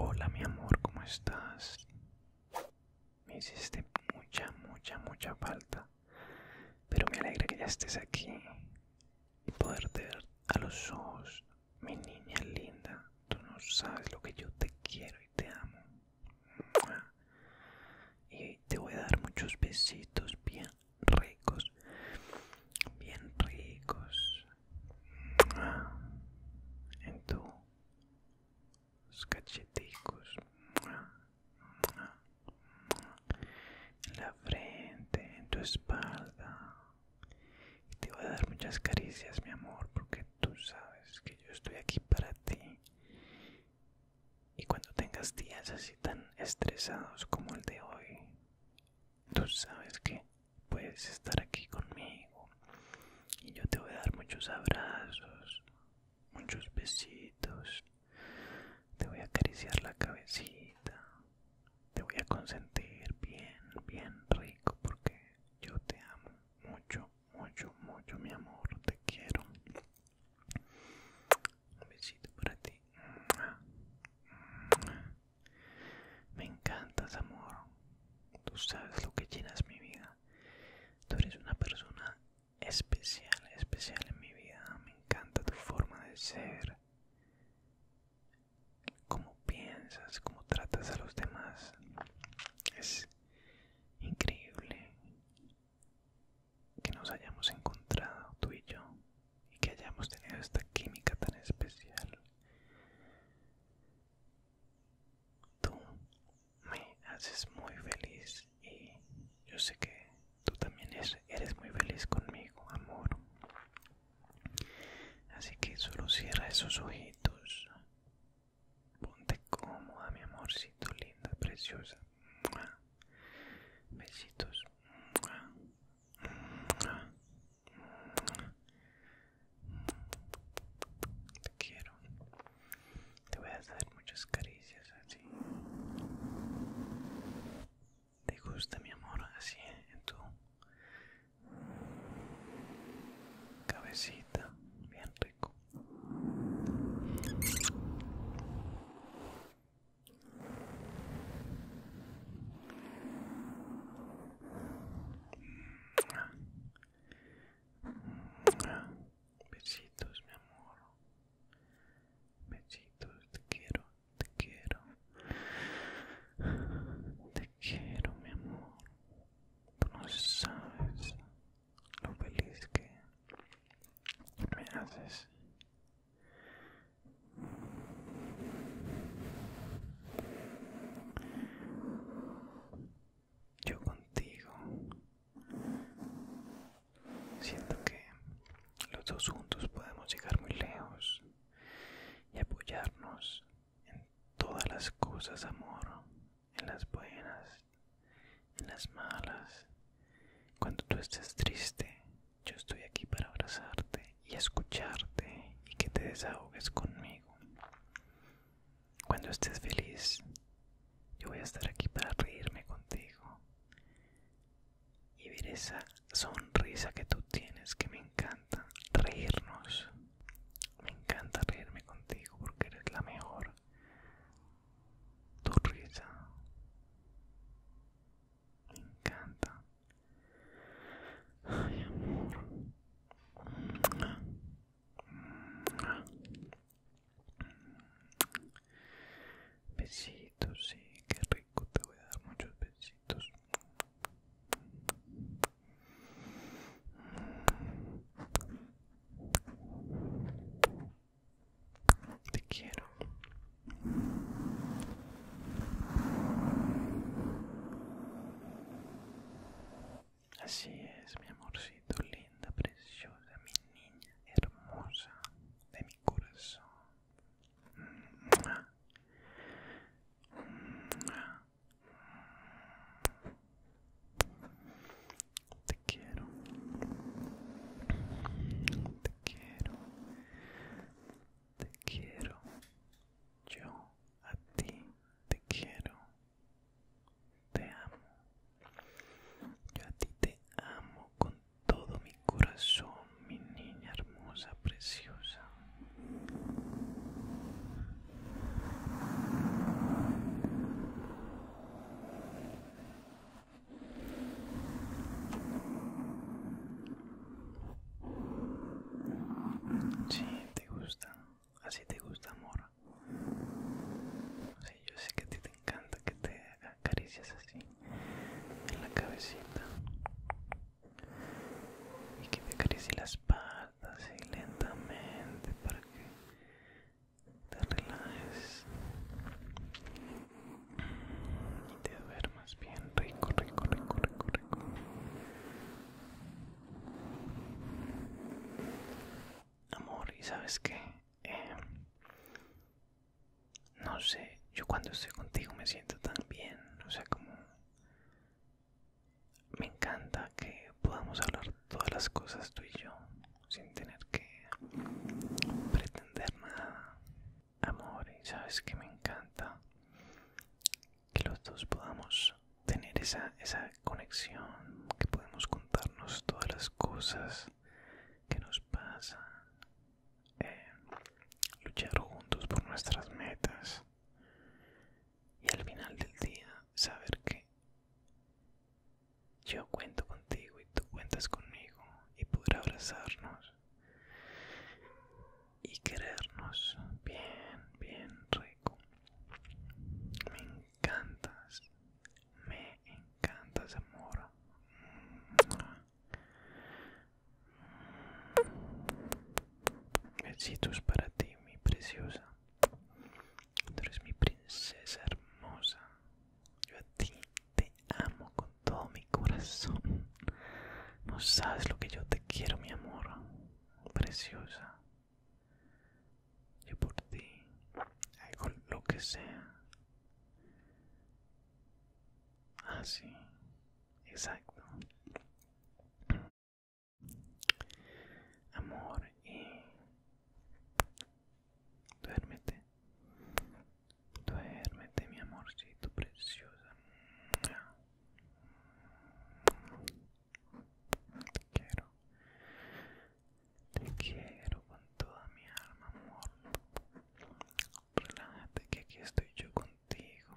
Hola mi amor, ¿cómo estás? Me hiciste mucha, mucha, mucha falta. Pero me alegra que ya estés aquí y poder a los ojos, mi niña linda, tú no sabes lo que yo te quiero y te amo. Y te voy a dar muchos besitos bien ricos, bien ricos en tus cacheticos, en la frente, en tu espalda. Y te voy a dar muchas caricias, mi amor, porque tú sabes que yo estoy aquí para ti. Y cuando tengas días así tan estresados como el de hoy, tú sabes que puedes estar aquí conmigo. Y yo te voy a dar muchos abrazos, muchos besitos. Te voy a acariciar la cabecita te voy a consentir bien, bien rico porque yo te amo mucho, mucho, mucho, mi amor, te quiero. Un besito para ti. Me encantas, amor. Tú sabes lo que llenas mi vida. Tú eres una persona especial, especial en mi vida. Me encanta tu forma de ser cómo piensas, cómo tratas a los demás. Es increíble que nos hayamos encontrado tú y yo y que hayamos tenido esta química tan especial. Tú me haces muy feliz y yo sé que tú también eres muy feliz conmigo, amor. Así que solo cierra esos ojitos. Ponte cómoda, mi amorcito, linda, preciosa. Besitos. Te quiero. Te voy a hacer muchas caricias así te gusta mi amor así en tu cabecita bien rico Besitos, mi amor. Besitos, te quiero te quiero, te quiero mi amor, tú no sabes lo feliz que me haces. Yo contigo siento que los dos juntos podemos llegar muy lejos y apoyarnos en todas las cosas, amor, en las buenas, en las malas. Cuando tú estés triste, yo estoy aquí para abrazarte y escucharte y que te desahogues conmigo. Cuando estés feliz, yo voy a estar aquí para reírme contigo y ver esa sonrisa que tú tienes que me encanta reírnos. Me encanta reírme contigo porque eres la mejor. Tu risa. Me encanta. Besitos, sí, qué rico. Te voy a dar muchos besitos. Te quiero. Así es, mi amorcito linda, preciosa, mi niña hermosa de mi corazón. Te quiero. Te quiero. Te quiero. Yo a ti te quiero. Te amo. Yo a ti te amo con todo mi corazón, mi niña hermosa, preciosa. Sí, te gusta, así te gusta, amor. Sí, yo sé que a ti te encanta que te acaricias así en la cabecita y que te acaricie las patas lentamente para que te relajes y te duermas bien rico, rico, rico, rico, rico. Amor, ¿y sabes qué? Eh, no sé, yo cuando estoy contigo me siento tan bien, o sea, como... Me encanta que podamos hablar todas las cosas tú y yo, sin tener que pretender nada. Amor, y sabes que me encanta que los dos podamos tener esa, esa conexión, que podemos contarnos todas las cosas que nos pasan, eh, luchar juntos por nuestras metas y al final del día saber que yo cuento contigo y tú cuentas conmigo y poder abrazarnos y querernos bien, bien rico. Me encantas, me encantas amor. Besitos para ti, mi preciosa. Tú eres mi princesa hermosa. Yo a ti te amo con todo mi corazón. No sabes lo que yo te quiero, mi amor. Preciosa. Yo por ti hago lo que sea. Así. Ah, Exacto. Amor y duérmete. Duérmete, mi amorcito preciosa. Te quiero. Te quiero con toda mi alma, amor relájate que aquí estoy yo contigo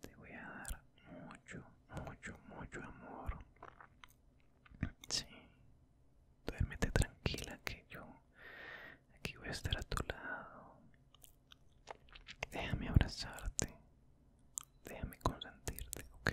te voy a dar mucho mucho mucho amor sí duérmete tranquila que yo aquí voy a estar a tu lado déjame abrazarte déjame consentirte ok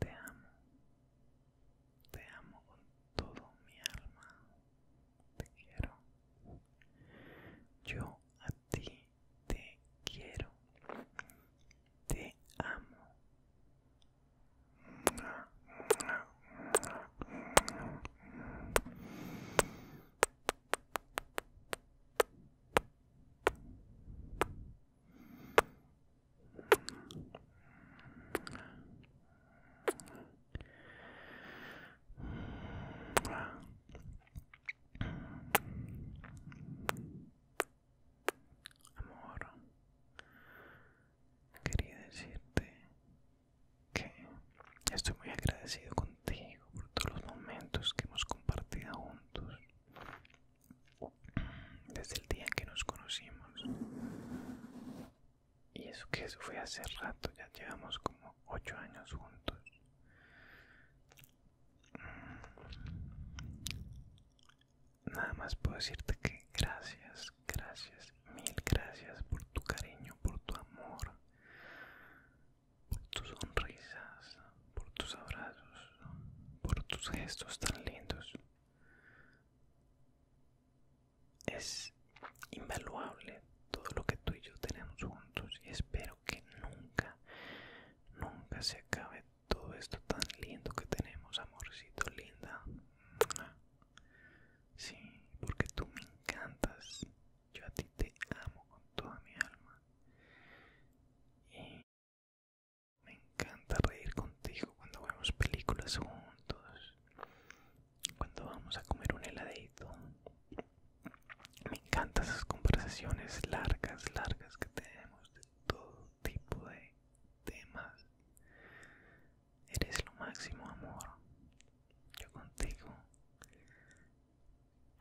Te amo. Te amo con todo mi alma. Te quiero. Yo a ti te quiero. Te amo. Amor, quería decirte que estoy muy agradecido contigo por todos los momentos que hemos compartido juntos desde el día que nos conocimos. Y eso que eso fue hace rato, ya llevamos como ocho años juntos. Mm. Nada más puedo decirte que gracias, gracias, mil gracias por tu cariño, por tu amor, por tus sonrisas, por tus abrazos, por tus gestos tan lindos. Es invaluable todo lo que tú y yo tenemos juntos y espero que nunca, nunca se acabe todo esto tan lindo que tenemos, amorcito linda. Sí, porque tú me encantas. Yo a ti te amo con toda mi alma. Me encanta reír contigo cuando vemos películas juntos, cuando vamos a comer un heladito. Me encantan esas conversaciones largas, largas que tenemos de todo tipo de temas. Eres lo máximo, amor. Yo contigo.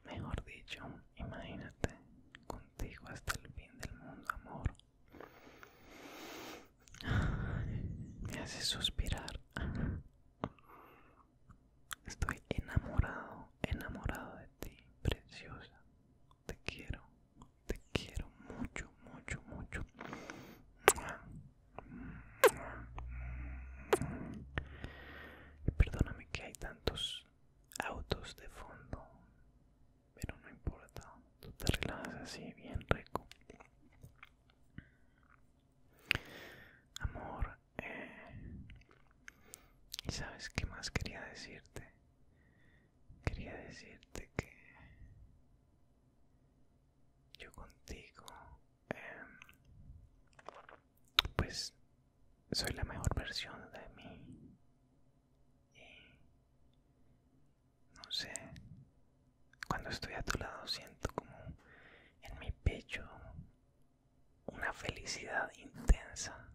Mejor dicho, imagínate contigo hasta el fin del mundo, amor. Me hace suspirar. Estoy enamorado, enamorado de ti, preciosa. Te quiero, te quiero mucho, mucho, mucho. perdóname que hay tantos autos de fondo pero no importa, tú te relajas así bien rico. Amor, ¿y eh, sabes qué más quería decirte? Quería decirte que yo contigo, em, pues soy la mejor versión de mí no sé, cuando estoy a tu lado siento como en mi pecho una felicidad intensa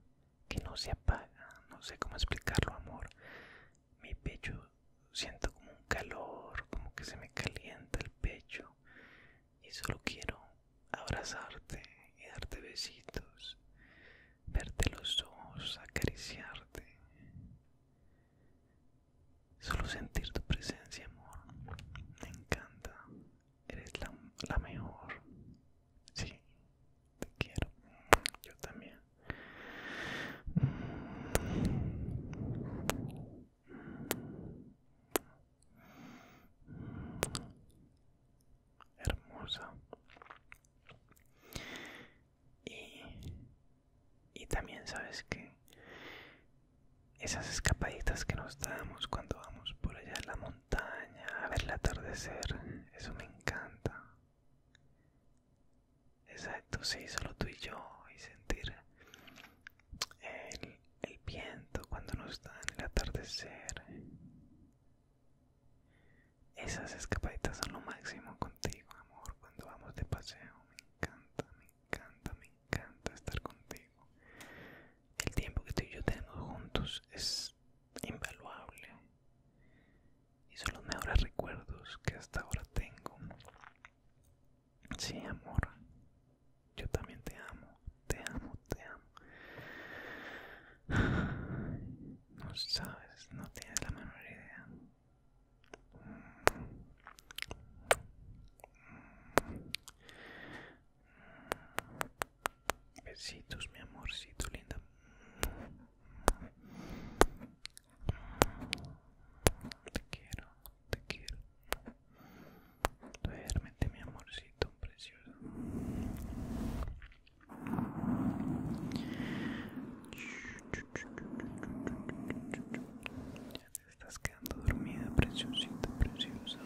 que no se apaga, no sé cómo explicarlo amor, mi pecho siento como un calor, como que se me calienta el pecho y solo quiero abrazarte y darte besitos verte los ojos, acariciarte. Solo sentir tu presencia, amor. Me encanta. Eres la, mejor. Sí, te quiero. Yo también hermosa y, también sabes que esas escapaditas que nos damos cuando vamos por allá en la montaña a ver el atardecer eso me encanta exacto sí solo tú y yo y sentir el, viento cuando nos dan el atardecer esas escapaditas son lo máximo contigo, amor. Cuando vamos de paseo, me encanta, me encanta, me encanta estar contigo. El tiempo que tú y yo tenemos juntos es invaluable. Y son los mejores recuerdos que hasta ahora tengo. Sí, amor. Yo también te amo, te amo, te amo no sabes, no tienes la menor idea. Besitos, mi amorcito linda. Te quiero, te quiero. Duérmete, mi amorcito precioso. Ya te estás quedando dormida, preciosita, preciosa.